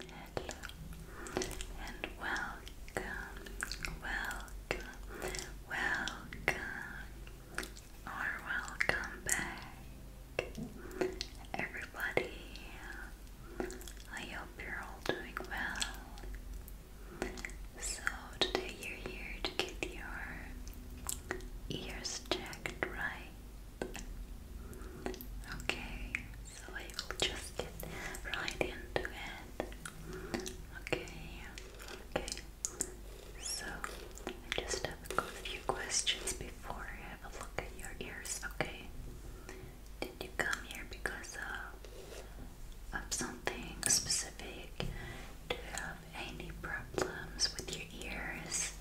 Hello and welcome, welcome, welcome, or welcome back, everybody. I hope you're all doing well. So, today you're here to get your ears checked, right? Okay so I will just get right into it. Okay, okay. So I just have a few questions before I have a look at your ears. Okay. Did you come here because of something specific? Do you have any problems with your ears?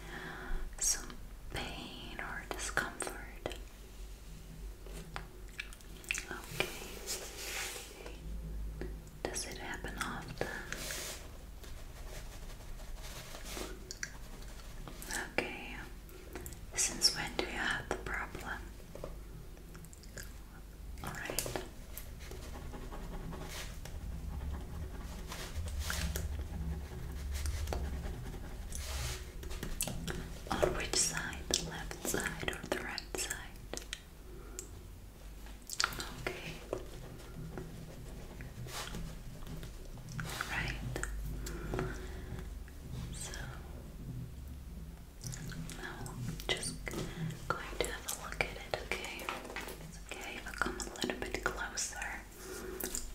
Some pain or discomfort? Okay. Does it happen often? Okay. Since when do you have the problem? Alright. On which side? The left side or the right side? Okay. Right. So now just going to have a look at it, okay? okay if I come a little bit closer.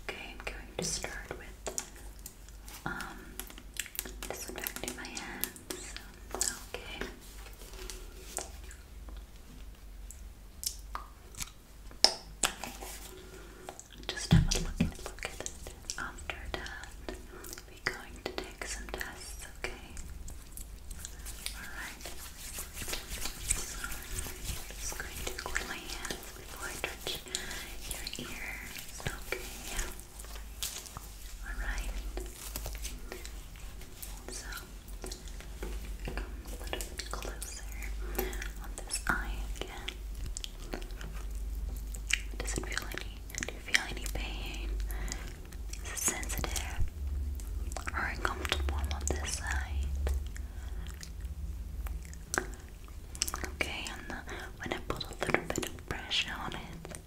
Okay, I'm going to start with disinfecting um, my hands. Okay. Just have a look at it. After that, we're going to take some tests, okay? Alright. I'm just going to cool my hands before I touch your ear. Okay, Alright. So, a little bit closer on this eye again. Does it feel any, do you feel any pain? Is it sensitive or uncomfortable on this side? Okay, and uh, when I put a little bit of pressure on it,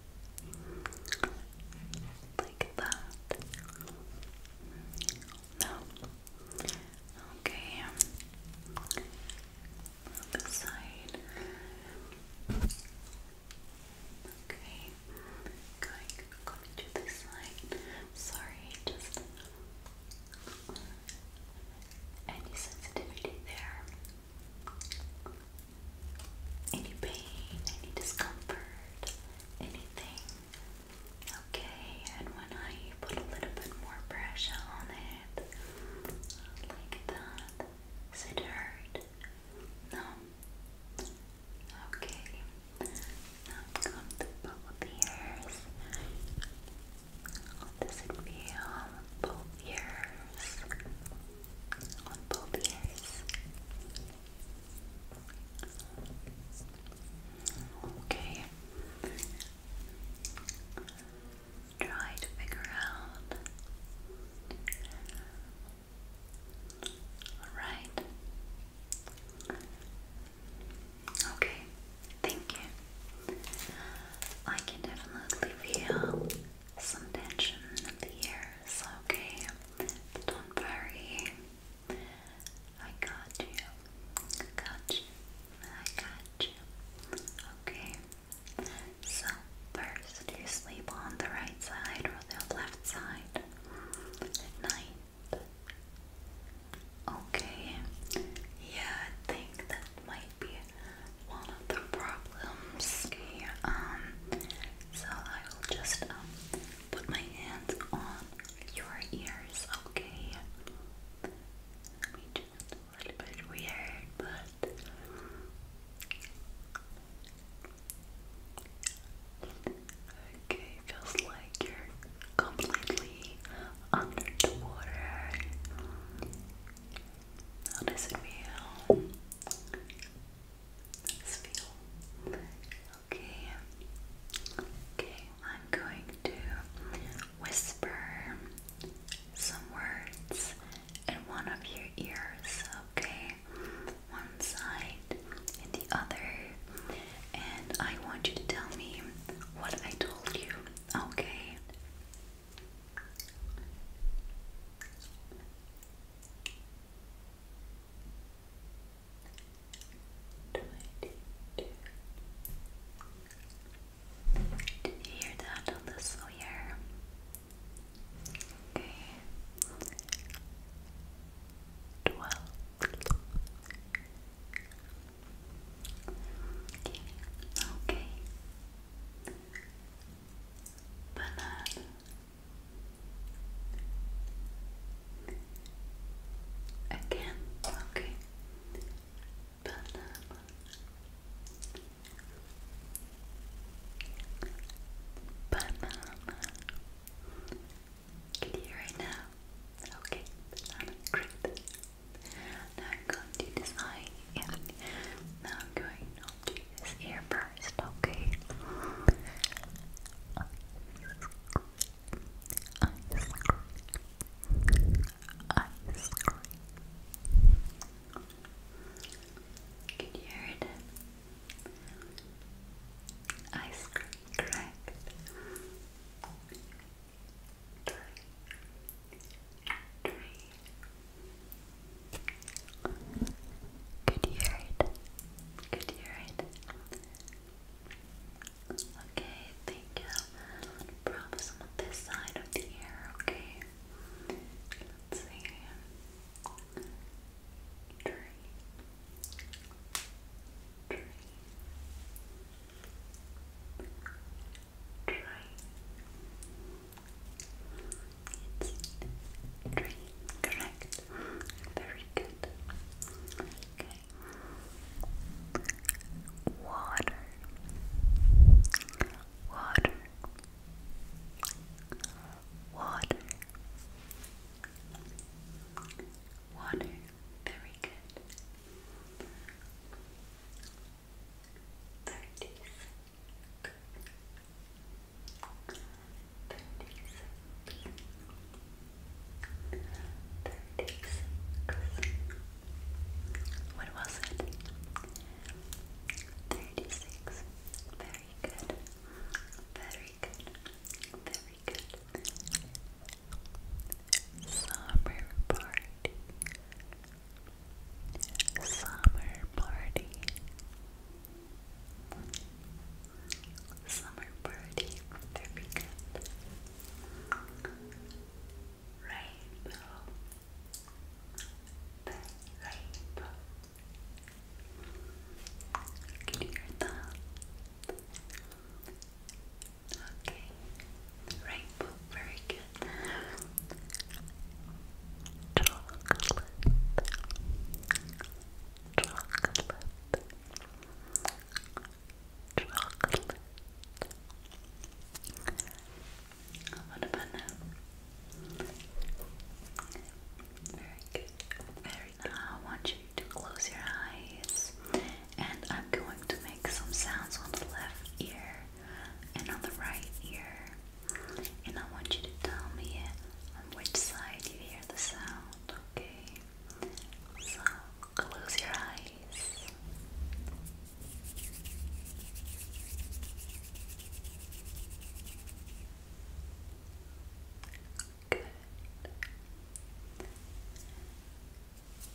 like that. No. Okay. Other um, side. Okay. Going, going to this side. Sorry, just any sensitivity there, any pain, any discomfort, anything. Okay, and when I put a little bit more pressure on it, like that, does it hurt? No? Okay, now come to both ears. How does it feel on both ears? On both ears. Okay. Try to figure out. Alright. Okay, thank you. I can definitely feel some tension in the ears, okay? don't worry. I got you. I got you. I got you. Okay. So, first, you sleep on the right side or the left side at night. Okay, yeah, I think that might be one of the problems. um, so I will just um, put my hands on your ears. Okay, I a little bit weird, but. Okay, feels like you're completely under the water. How feel? feel? Okay. Okay, I'm going to whisper some words in one of your ears, okay? One side and the other. And I want you to tell me what I told you Okay. Did you hear that on the sawyer? Okay. Twelve. Okay. okay. Banana. Again. Okay. Banana. Banana. Can you hear it right now? Okay, banana, great. Now I'm going to this eye now I'm going on to this ear first, okay? Ice cream. Can you hear it? Ice cream, correct three. you hear it. Good, you hear it. Okay, thank you. probably some on this side of the ear, okay? Let's see. Three. Three. Try. It's Correct. Very good. Okay. Water. Water. Water. Water. Very good. Thirty six. Thirty six. Thirty six. What was it? Thirty six. Very good. Very good. Very good. Summer party. Summer party. Summer party. There we go. Rainbow. The rainbow. Can you hear that? Okay. Rainbow, very good. Chocolate. Chocolate. Chocolate. what about now? Very good. Very I want you to close your eyes and I'm going to make some sounds on the left ear and on the right ear. And I want you to tell me uh, on which side you hear the sound, okay? So close your eyes.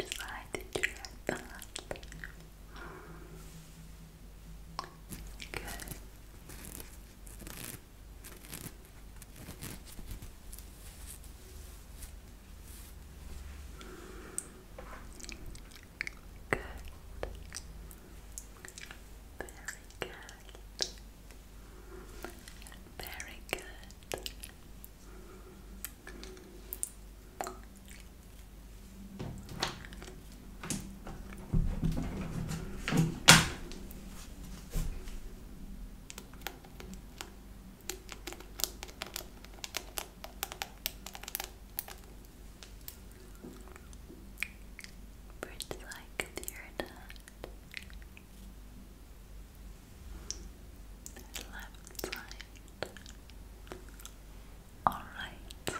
Which side did you have Good. Good. Very good. Very good. Birds like the left side all right.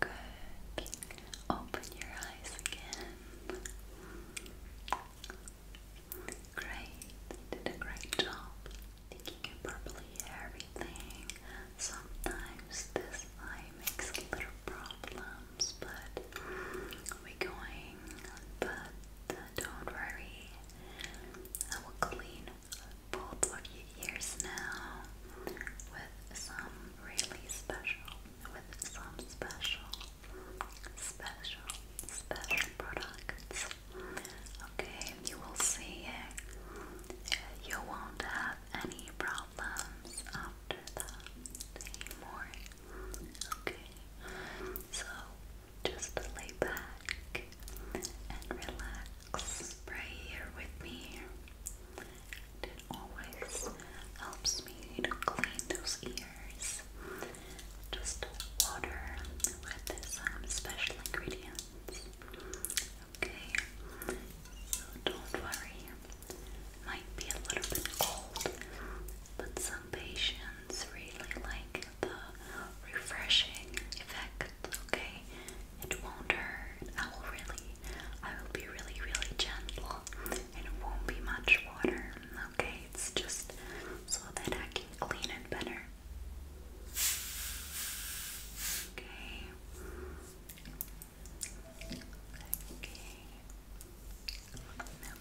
Good. Open your eyes again. Great. You did a great job. Think properly everything. Sometimes this eye makes little problems, but we're going. But don't worry. I will clean both of your ears now with some really special, with some special, special, special products. Okay, you will see. You won't have any problems after that anymore. Okay, so just lay back and relax. Pray here with me. it always helps me to clean those ears. Just water with some um, special ingredients. Okay, so don't worry. Might be a little bit cold, but some patients really like the refreshing effect. Okay, it won't hurt. I will really, I will be really, really gentle, and it won't be much water. Okay, it's just so that I can clean it better. Okay. Okay.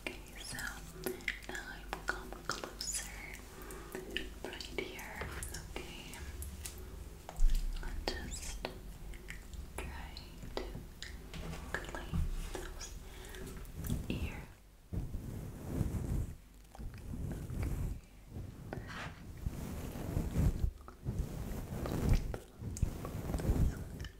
Okay, so now I've come closer right here. Okay, I'll just try to clean those ears.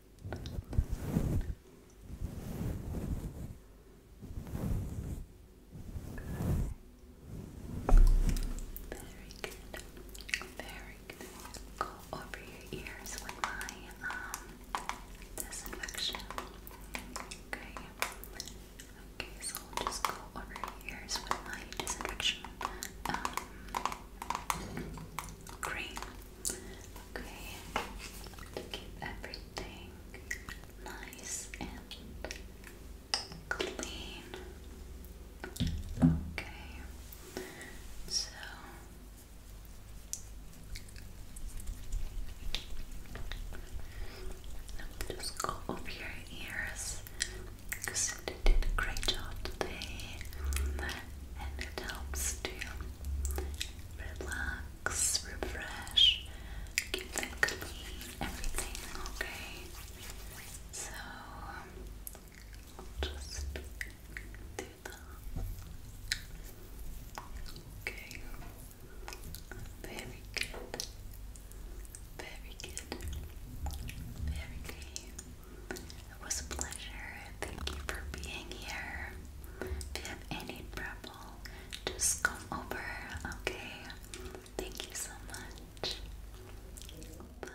Very good. Very good. Go over your ears with my disinfection. Okay. Okay, so just go over your ears with my disinfection um, cream. Okay, to keep everything nice and clean. Okay, so let me just go over your ears because you did a great job today and it helps to relax, refresh, keep them clean, everything okay. So um, just do that. Okay. Very good. Very good. Very good. It was a pleasure. Thank you for being here. If you have any trouble, just come over, okay? Thank you so much. Bye.